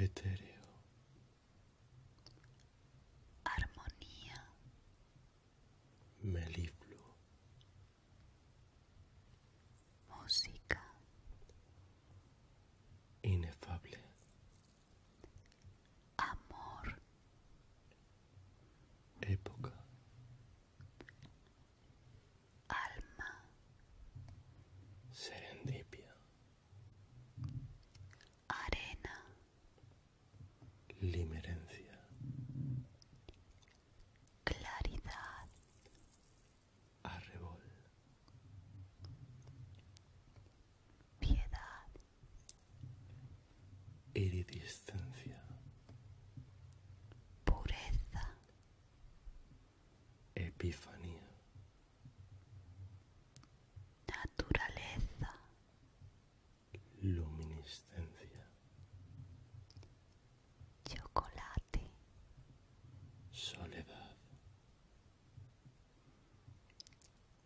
etéreo. Armonía. Melifluo. Música. Inefable. Amor. Época. Alma. Serendipia. Arena. Limerencia. Claridad. Arrebol. Piedad. Iridiscencia, Pureza. Epifanía. Naturaleza. Luminiscencia. Chocolate. Soledad.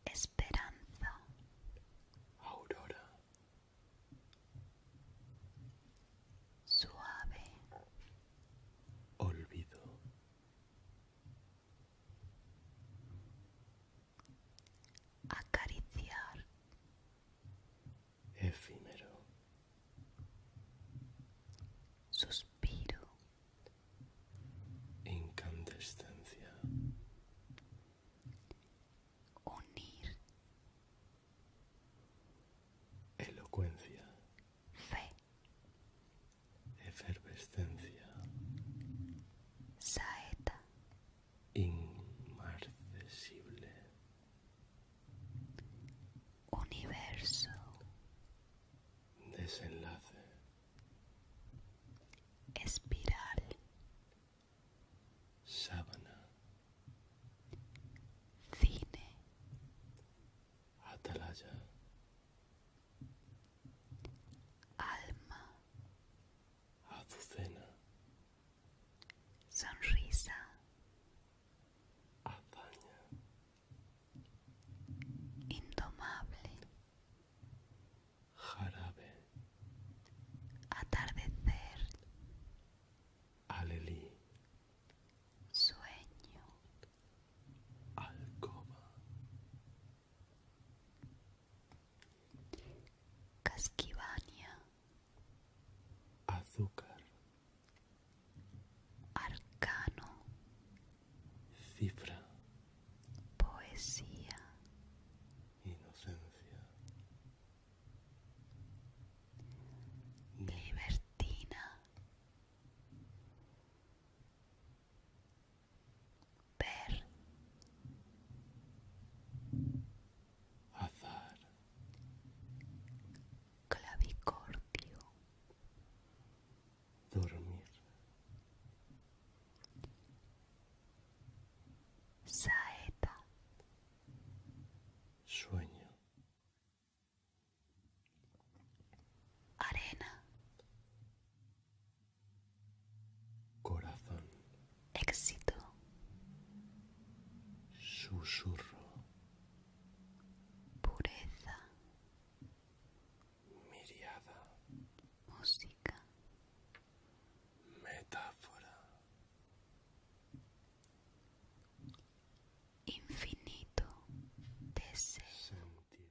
Esperanza. Aurora. Suave. Olvido. Acariciar efímero. Suspiro. Incandescencia. Unir. Elocuencia. Fe. Efervescencia. Saeta. Inmarcesible. Universo. Desenlace. Espiral. Sábana. Cine. Atalaya. Alma. Azucena sonrisa, indomable, jarabe, atardecer, alelí, sueño, alcoba, casquivania azúcar, arcano, cifra, poesía, inocencia, libertina, azar, clavicordio, dormir, saeta, sueño, arena, corazón éxito. Susurro. Pureza. Miriada. Música. Metáfora. Infinito deseo. Sentir.